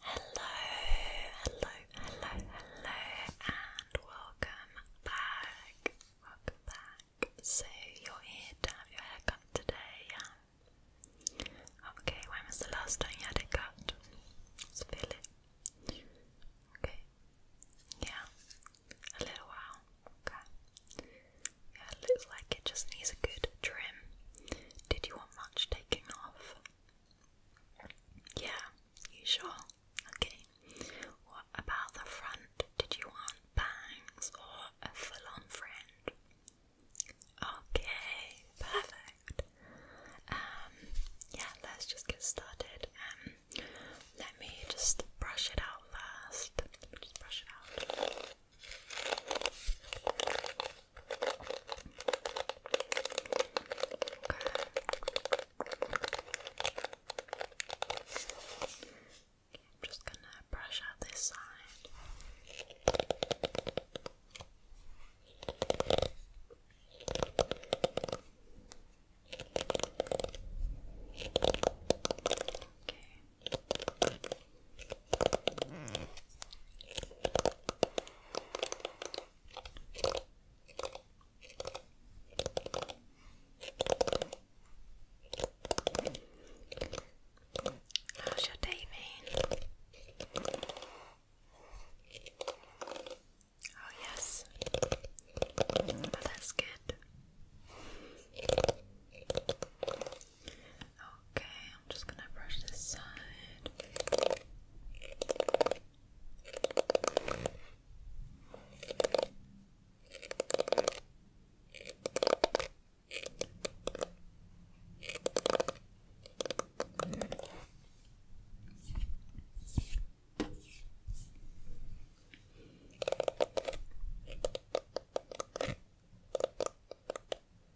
Hello, hello, hello, hello, and welcome back. Welcome back. So, you're here to have your hair cut today, yeah? Okay, when was the last time you had it cut? Let's feel it. Okay. Yeah, a little while. Okay. Yeah, looks like it just needs a good trim. Did you want much taking off? Yeah, you sure? Okay. What about the front? Did you want bangs or a full on fringe? Okay, perfect. Um, yeah, let's just get started. Um, let me just brush it out first. just brush it out. I'm just gonna brush out this side. How's your day been? Oh yes, oh, that's good. Okay, I'm just gonna brush this side.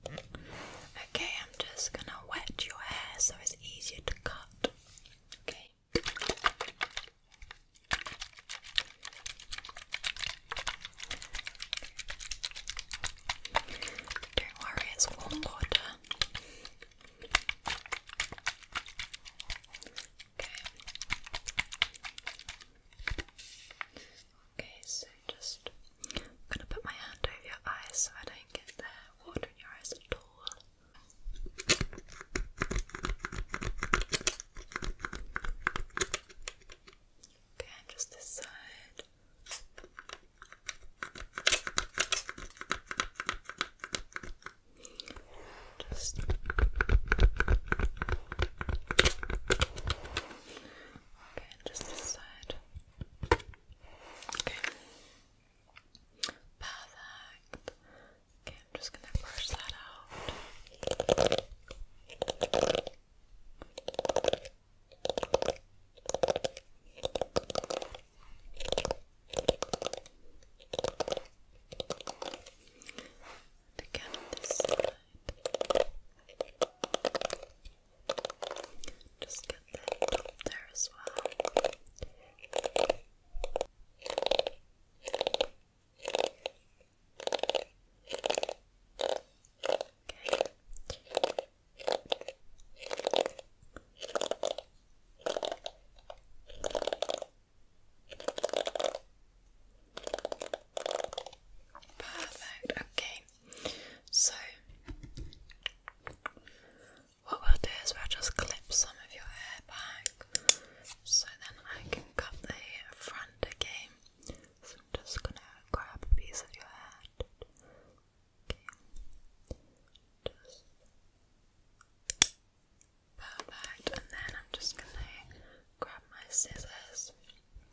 Okay, I'm just gonna wet your hair so it's easier to cut. Okay. Don't worry, it's warm water. Okay. Okay, so just I'm gonna put my hand over your eyes so I don't get the water in your eyes at all. Okay, just this side. Just Okay, just this Okay. Perfect. Okay, I'm just gonna brush that out. again, this side. Just get that top there as well. Okay. Perfect. Okay. So, what we'll do is we'll just clip some of your hair back so then I can cut the front again. So, I'm just gonna grab a piece of your head. Okay. Perfect, and then I'm just gonna grab my scissors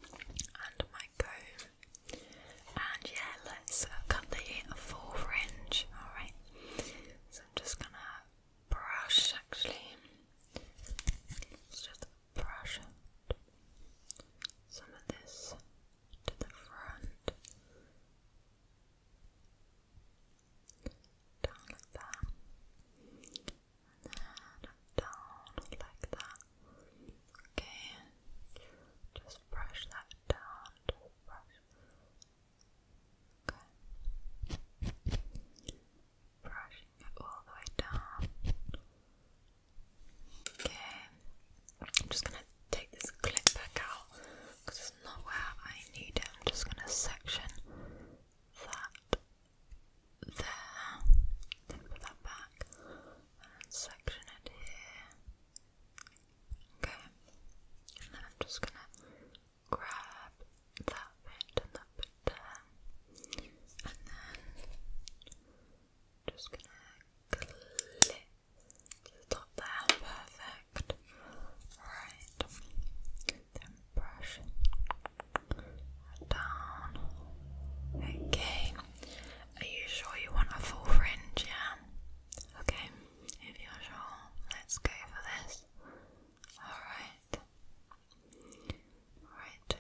and my and yeah, let's uh, cut the full fringe. Alright, so I'm just gonna brush actually. Let's just brush some of this to the front. Down like that. And down like that. Okay, just brush that down. Okay, brushing it all the way down. Okay, I'm just gonna take this clip back out because it's not where I need it. I'm just gonna section that there, then put that back, and section it here. Okay, and then I'm just gonna grab that bit and that bit there, and then just gonna clip to there. Perfect. Right, then brush down. Okay, are you sure you want a full fringe? Yeah. Okay, if you're sure, let's go for this. Alright. Alright.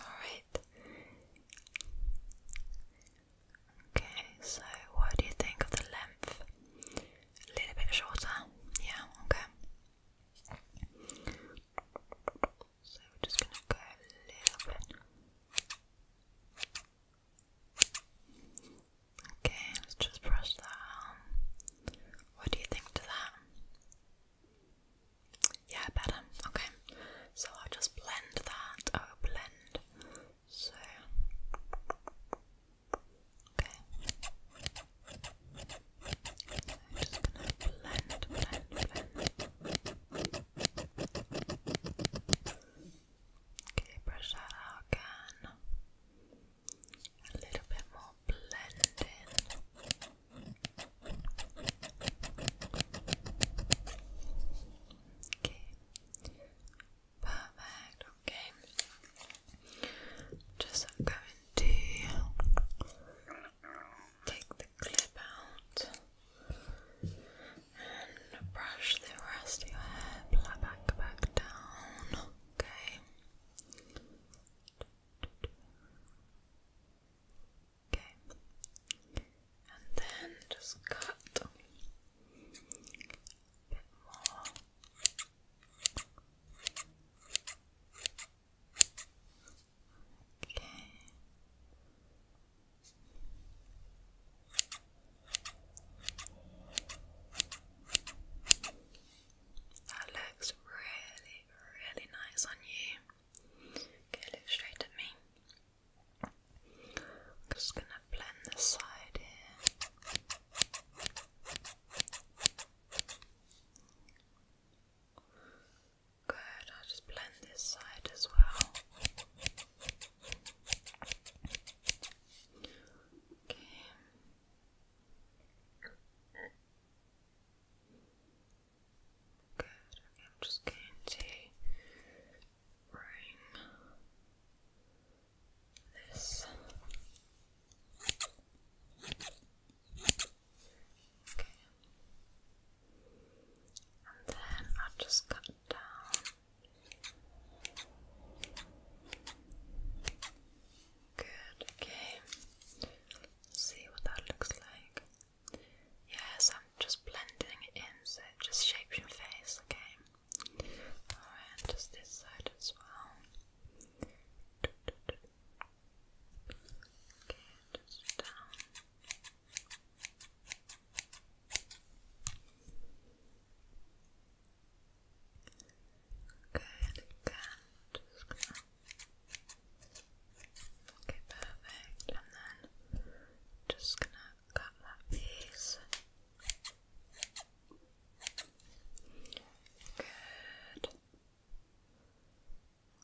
Alright. Okay, so what do you think of the length? A little bit shorter? Yeah, okay. So we're just gonna go a little bit. Okay, let's just brush that What do you think to that? Yeah, better. Okay. So I'll just blend that. Oh, blend. So Okay. i just gonna blend, blend, blend. Okay, brush out again. A little bit more blending. Okay. Perfect. Okay. Just I'm take the clip out and brush the rest of your hair back, back down. Okay. Okay. And then just cut a bit more. That looks really, really nice on you. Okay, look straight at me. I'm just gonna blend this side here. Good, I'll just blend this side as well. Good, I'm just going to bring this Okay. And then I'll just cut down. Good, okay. see what that looks like. Yes, I'm just blending it in so it just shapes your face, okay? Alright, just this side as well. Okay, just down. Okay, again, just gonna. Okay, perfect. And then just gonna cut that piece. Good.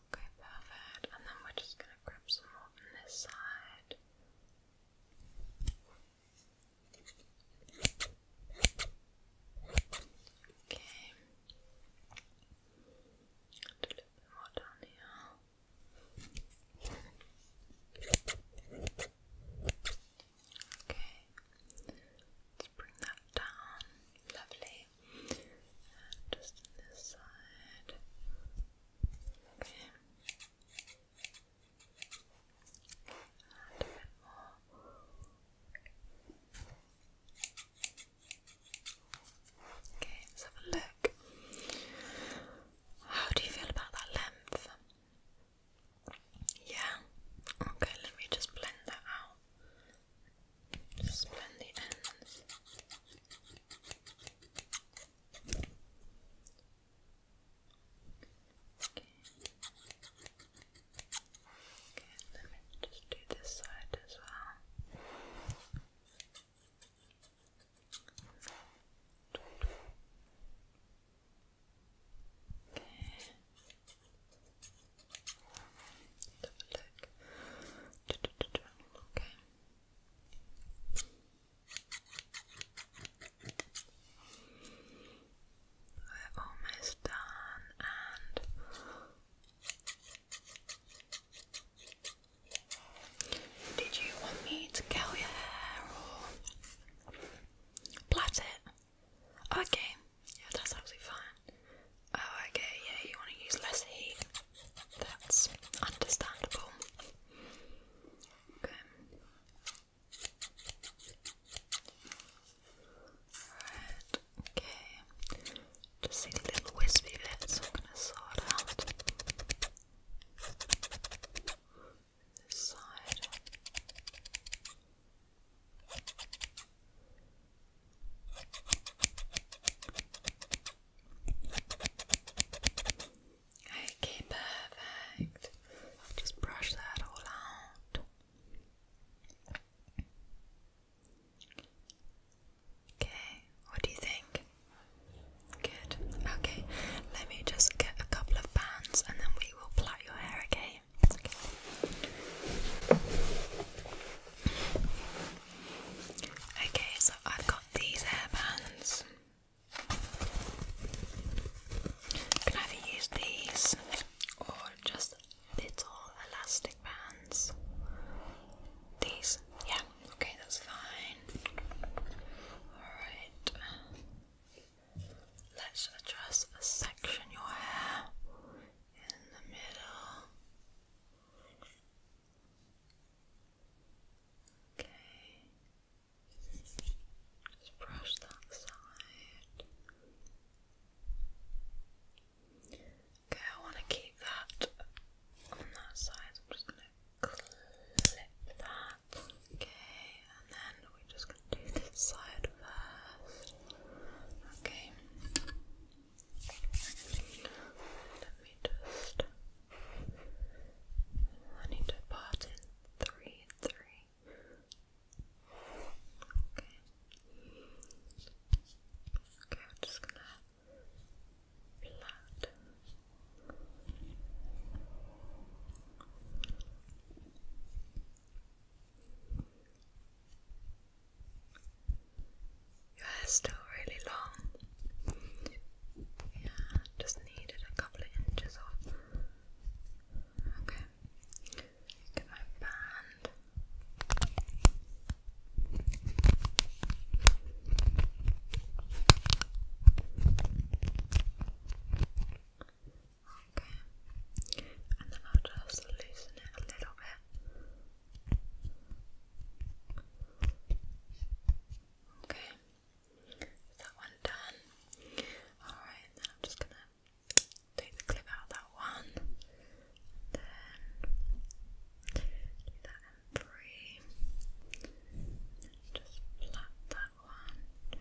Okay, perfect. And then we're just gonna grab some more from this side. Okay. a little bit more down here. Okay. Let's bring that down. Lovely. just this side. Okay. a bit more. Okay, let's have a look. How do you feel about that length? Yeah? Okay, let me just blend that out. Just bend the ends. Okay. Okay, let me just do this side as well. Okay let We're almost done and did you want me to curl your hair or plait it? Okay, yeah, that's absolutely fine. Oh, okay, yeah, you want to use less heat. That's understandable. Okay. Right, okay. Just these little wispy bits I'm going to sort out. This side. Okay, perfect. Just brush that all out. Okay, what do you think? Good. Okay, let me just get a couple of bands and then we will plait your hair, okay? okay. so I've got these hairbands. can either use these or just little elastic bands. These, yeah, okay, that's fine. Alright, let's address section your hair in the middle. Okay. Just brush that side. Okay, I want to keep that on that side. I'm just going to clip that. Okay, and then we just side first. Okay. Let me just. I need to part in three, three. Okay. Okay, I'm just gonna flat. Okay. Your hair's still really long. Yeah, just needed a couple of inches off. Okay, get my band. Okay, and then I'll just loosen it a little bit. Okay, that one done? Alright, then I'm just gonna take the clip out that one, then do that in three, just flat that one.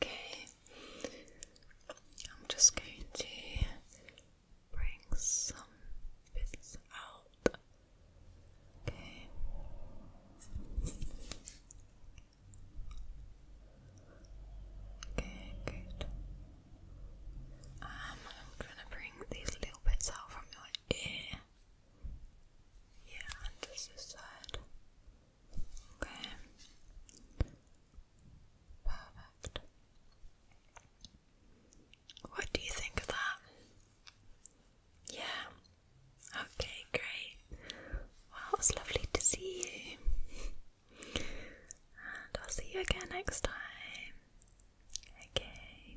Okay, I'm just going to bring some bits out. Okay. Okay, good. Um, I'm gonna bring these little bits out from your ear. Yeah, and this is Okay. Perfect. What do you think of that? Yeah. Okay, great. Well, it's lovely to see you. And I'll see you again next time. Okay.